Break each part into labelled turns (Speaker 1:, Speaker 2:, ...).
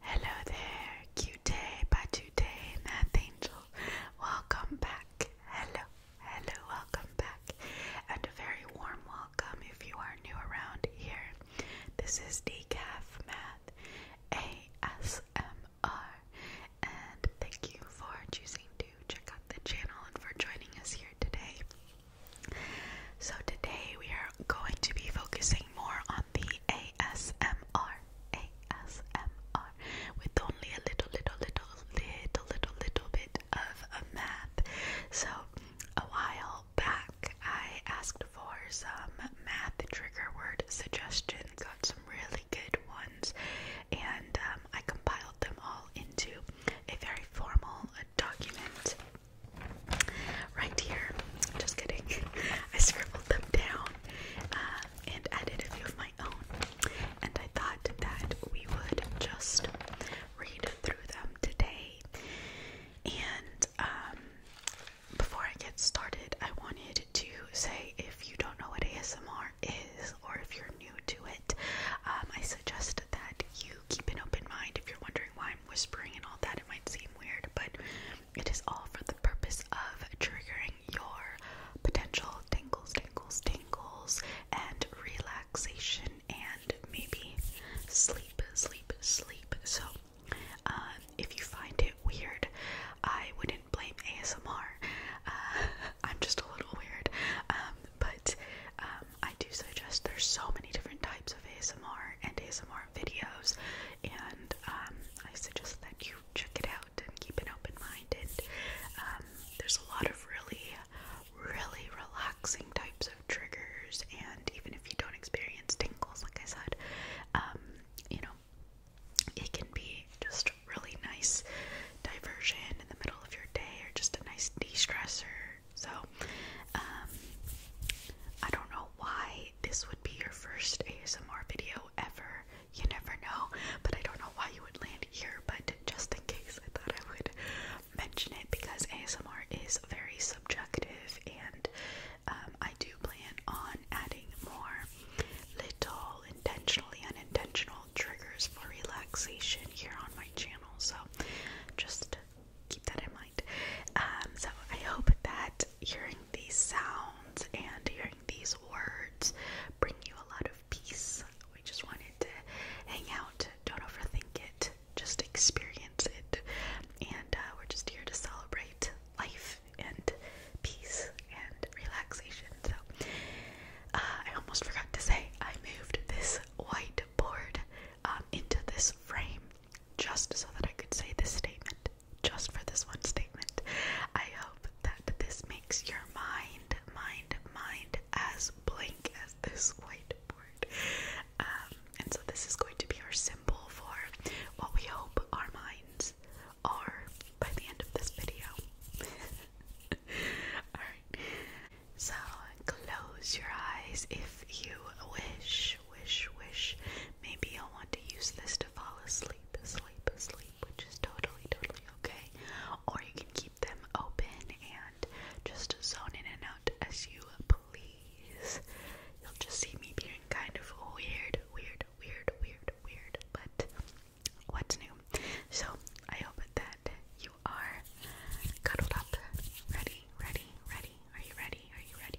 Speaker 1: Hello there, cutie, patootie, math angel. Welcome back. Hello, hello, welcome back. And a very warm welcome if you are new around here. This is Decaf Math ASMR. And thank you for choosing to check out the channel and for joining us here today. So, today we are going to be focusing more on the A. ASMR, ASMR, with only a little, little, little, little, little, little bit of a math. So, a while back, I asked for some math trigger word suggestions, got some really good ones, and um, I compiled them all into a very formal document right here. Just kidding. I scribbled them down uh, and added a few of my own. And I thought that we would just read through them today. And um, before I get started, I wanted to say if you don't know what ASMR is or if you're new to it, um, I suggest that you keep an open mind if you're wondering why I'm whispering and all that. It might seem weird, but it is all for the purpose of triggering your potential tingles, tingles, tingles, and relaxation, and maybe sleep, sleep, sleep. So, um, if you find it weird, I wouldn't blame ASMR. Uh, I'm just a little weird, um, but um, I do suggest there's so many different types of ASMR, and ASMR videos, and um, I suggest that you check it out and keep an open mind. And um, there's a lot of really, really relaxing types of triggers, and even if you don't experience tingles, like I said, um, you know, it can be just really nice diversion in the middle of your day, or just a nice de-stressor. So, I don't know why this be your first ASMR video ever. You never know, but I don't know why you would land here, but just in case, I thought I would mention it because ASMR is very subjective and um, I do plan on adding more little intentionally unintentional triggers for relaxation here on my channel. So just keep that in mind. Um, so I hope that hearing these sounds and hearing these words bring you a lot of peace. We just wanted to hang out, don't overthink it, just experience it. And uh, we're just here to celebrate life and peace and relaxation. So uh, I almost forgot to say I moved this whiteboard um, into this frame just so that I could say this statement, just for this one statement. I hope that this makes your mind, mind, mind as blank as this whiteboard. Um, and so, this is going to be our symbol for what we hope our minds are by the end of this video. Alright, so close your eyes if you wish wish, wish, wish. Maybe you'll want to use this to fall asleep, sleep, sleep, which is totally, totally okay. Or you can keep them open and just zone in and out as you please. You'll just see me being kind of weird, weird, weird, weird, weird. But what's new? So I hope that you are cuddled up. Ready, ready, ready. Are you ready? Are you ready?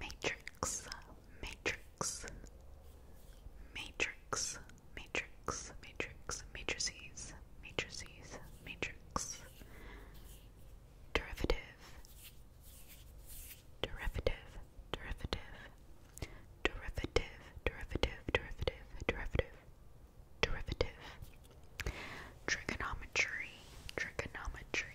Speaker 1: Matrix, matrix, matrix, matrix, matrix, matrices, matrices, matrix. Derivative, derivative, derivative, derivative, derivative, derivative, derivative, derivative. Trigonometry, trigonometry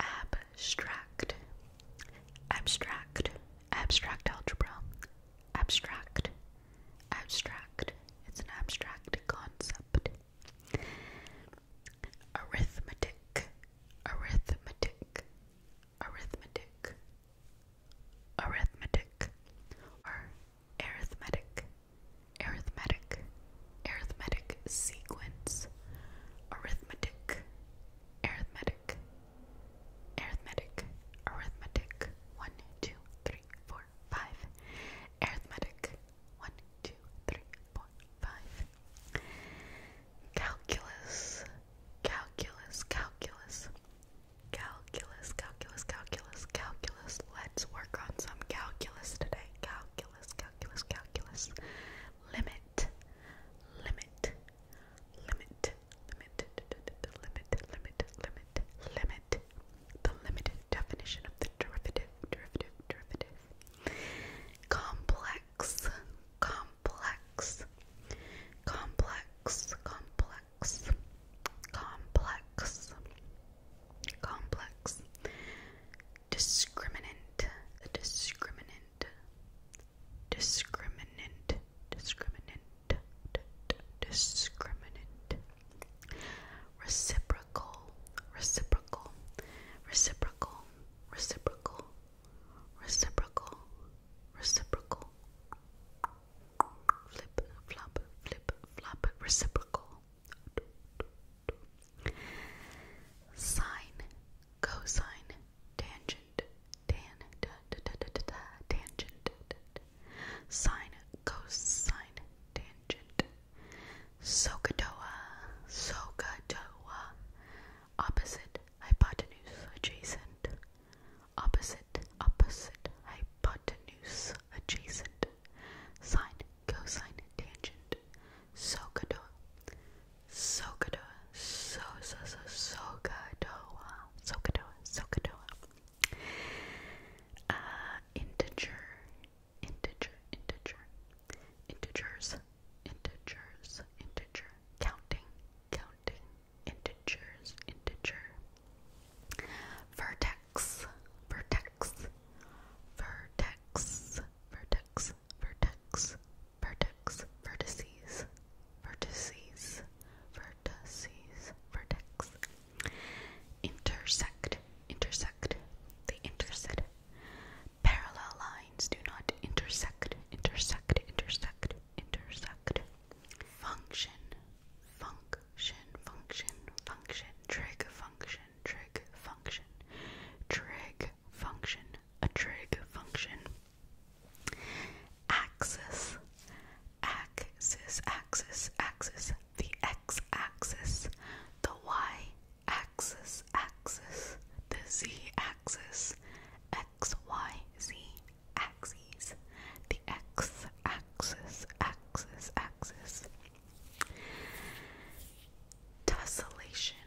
Speaker 1: abstract, abstract, abstract algebra, abstract, abstract. It's an abstract concept. Arithmetic, arithmetic, arithmetic, arithmetic, or arithmetic, arithmetic, arithmetic sequence, arithmetic, arithmetic, arithmetic, arithmetic, one, two, three, four, five, arithmetic, one, two, three, four, five, calculus, calculus, calculus. Calculus, calculus, calculus, calculus. Let's work on some calculus today. Calculus calculus, calculus, calculus, limit, limit, limit, limit, limit, limit, limit, limit, the limited definition of the derivative, derivative, derivative, complex, complex, complex, complex, complex, complex discriminant, a discriminant, discriminant, discriminant, discriminant, reciprocal, reciprocal, reciprocal, reciprocal, reciprocal, reciprocal, flip, flop, flip, flop, reciprocal. Sine, cosine, tangent, tan, da, da, da, da, da, da, tangent, da, da. sine, cosine, tangent, SOHCAHDOA, SOHCAHDOA, opposite, hypotenuse, adjacent, opposite, opposite, hypotenuse, adjacent, sine, cosine tangent Sokodoa Sokodoa so so so Sokodoa Sokodoa Sokodoa uh integer integer integer integers integers integers. counting counting integers integers. vertex vertex vertex vertex vertex, vertex, vertex, vertices, vertices, vertices, vertex. Intersect, intersect, they intersect. Parallel lines do not intersect, intersect, intersect, intersect. Function, function, function, function, trig function, trig function, trig function, a trig function. Axis, axis, axis, axis, the x axis, the y axis, axis, the z axis, x, y, z axes, the x axis, axis, axis. Tessellation,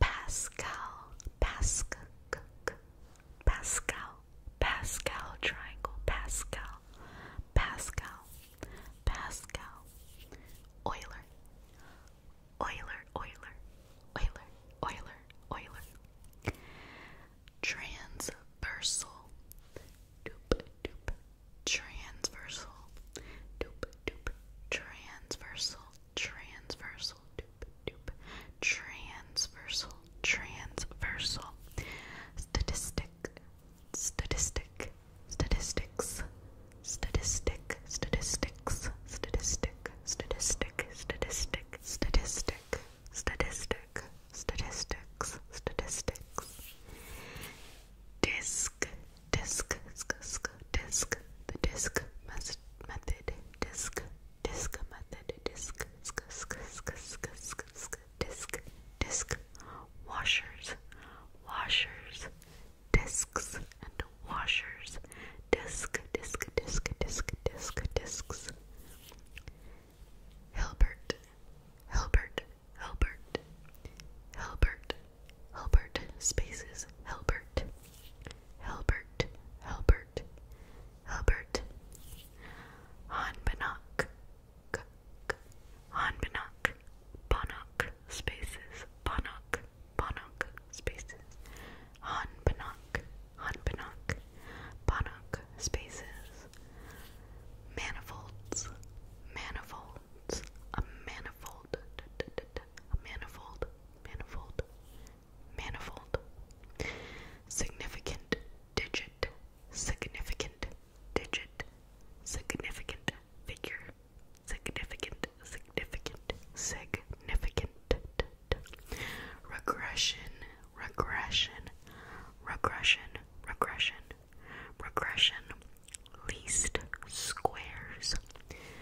Speaker 1: Pascal, Pascal, Pascal, Pascal triangle, Pascal, Pascal, Pascal, Euler, Euler, Euler, Euler, Euler, Euler, transversal, doop, doop, transversal, doop, doop, transversal, transversal, doop, doop, transversal, transversal, statistic, statistic, statistics, statistic, statistics, statistic, statistic, statistic, statistic, statistic, statistics, statistics, disc, disc, disc, disc, disc the disc method, disc, disc method, disc, disc, disc, disc, disc, disc, disc, disc, washers, washers, discs and washers, disc, disc, disc, disc, disc, discs. Hilbert, Hilbert, Hilbert, Hilbert, Helbert spaces Helbert. Helbert. Helbert. Helbert. Hanbanok. Hanbanok. Banok spaces. Banok. Banok spaces. Hanbanok. Hanbanok. Banok spaces. Manifolds. Manifolds. A manifold manifold, manifold, manifold. Significant digit, significant digit, significant figure, significant, significant, significant. Regression, regression, regression, regression, regression. Least squares,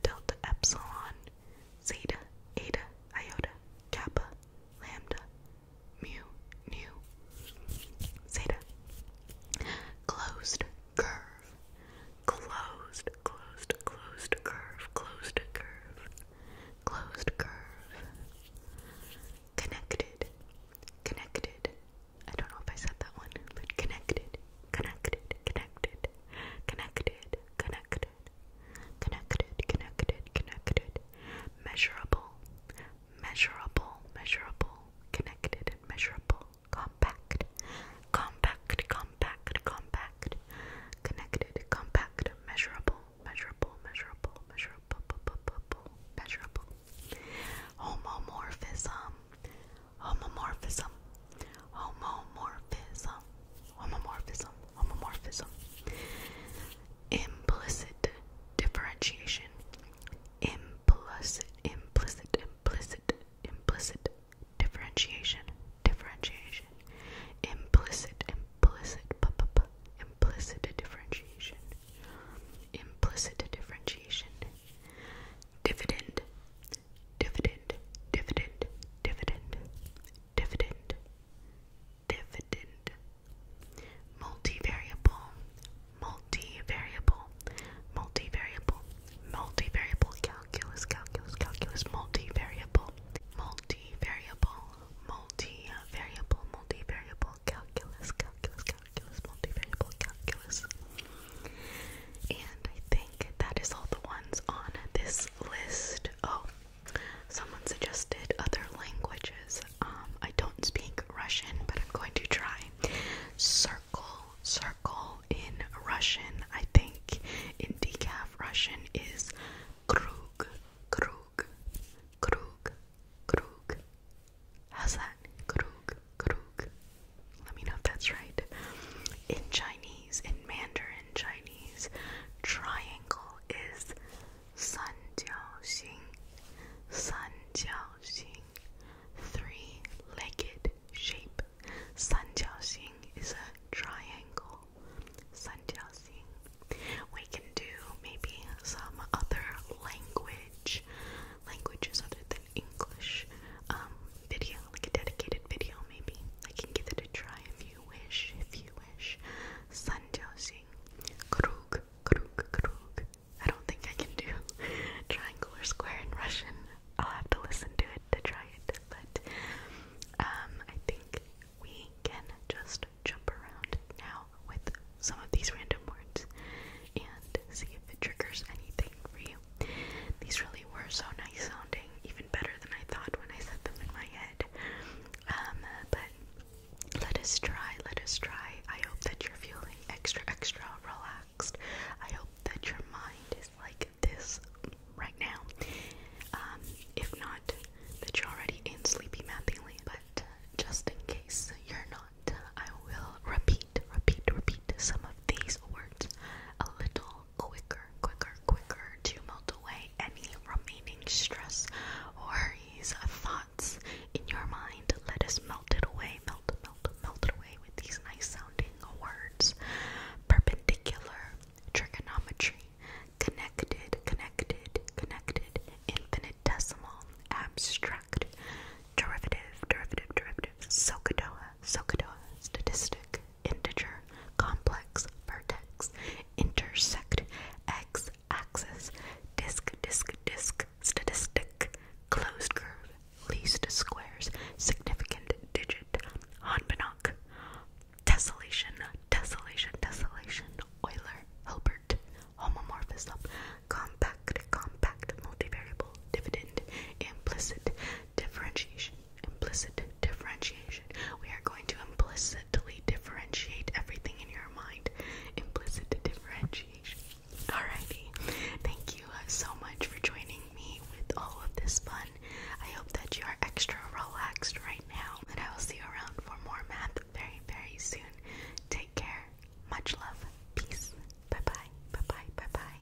Speaker 1: delta, epsilon, zeta, eta, iota, kappa, lambda, mu, nu, zeta. Closed curve. Closed, closed, closed curve, closed curve, closed curve. Connected, connected. I don't know if I said that one, but connected, connected, connected, connected, connected, connected, connected, connected, measurable, measurable, measurable, connected measurable, compact, compact, compact, compact, connected, compact, measurable, measurable, measurable, measurable, measurable. Homomorphism homomorphism, homomorphism, homomorphism, homomorphism, implicit differentiation, implicit, implicit, implicit, implicit differentiation, differentiation, implicit, implicit, p implicit differentiation, implicit differentiation, dividend, dividend, dividend, dividend, dividend, dividend, multivariable, multivariable, multivariable, multivariable calculus, calculus, calculus, multivariable, multivariable, multivariable, multivariable calculus, calculus, calculus, multivariable calculus. And I think that is all the ones on this list. Oh, someone suggested other languages. Um, I don't speak Russian, but I'm going to try. Circle, circle in Russian. I think in decaf Russian is krug, krug, krug, krug. How's that? Krug, krug, let me know if that's right. In Chinese, in Mandarin Chinese, triangle is san jiao xing. San jiao xing. Three-legged shape. San jiao xing is a triangle. San xing. We can do maybe some other language. Languages other than English um, video, like a dedicated video maybe. I can give it a try if you wish, if you wish. Sanjosing Krug, Krug, Krug. I don't think I can do triangle or square in Russian. I'll have to listen to it to try it, but um, I think we can just jump around now with some of these random words and see if it triggers anything for you. These really were so nice sounding, even better than I thought when I said them in my head. Um, but let us try, let us try. I hope that you're feeling extra, extra relaxed. I hope that your mind is like this right now. Um, if not, that you're already in sleepy mapping but uh, just in case you're not, I will repeat repeat, repeat, repeat some of these words a little quicker, quicker, quicker to melt away any remaining stress, or worries, thoughts in your mind. Let us melt it away, melt, melt, melt it away with these nice sounding words. Perpendicular, trigonometry, connected, connected, connected, infinitesimal, abstract, derivative, derivative, derivative, Sokodoa, Sokodo, statistic, integer, complex, vertex, intersect, x axis, disk, disk, disk, statistic, closed curve, least squares, significant digit, Hanbanach, desolation desolation desolation Euler, Hilbert, homomorphism, compact, compact, multivariable, dividend, implicit, differentiation implicit differentiation. We are going to implicitly differentiate everything in your mind. Implicit differentiation. Alrighty. Thank you uh, so much for joining me with all of this fun. I hope that you are extra relaxed right now. And I will see you around for more math very, very soon. Take care. Much love. Peace. Bye bye. Bye bye. Bye bye.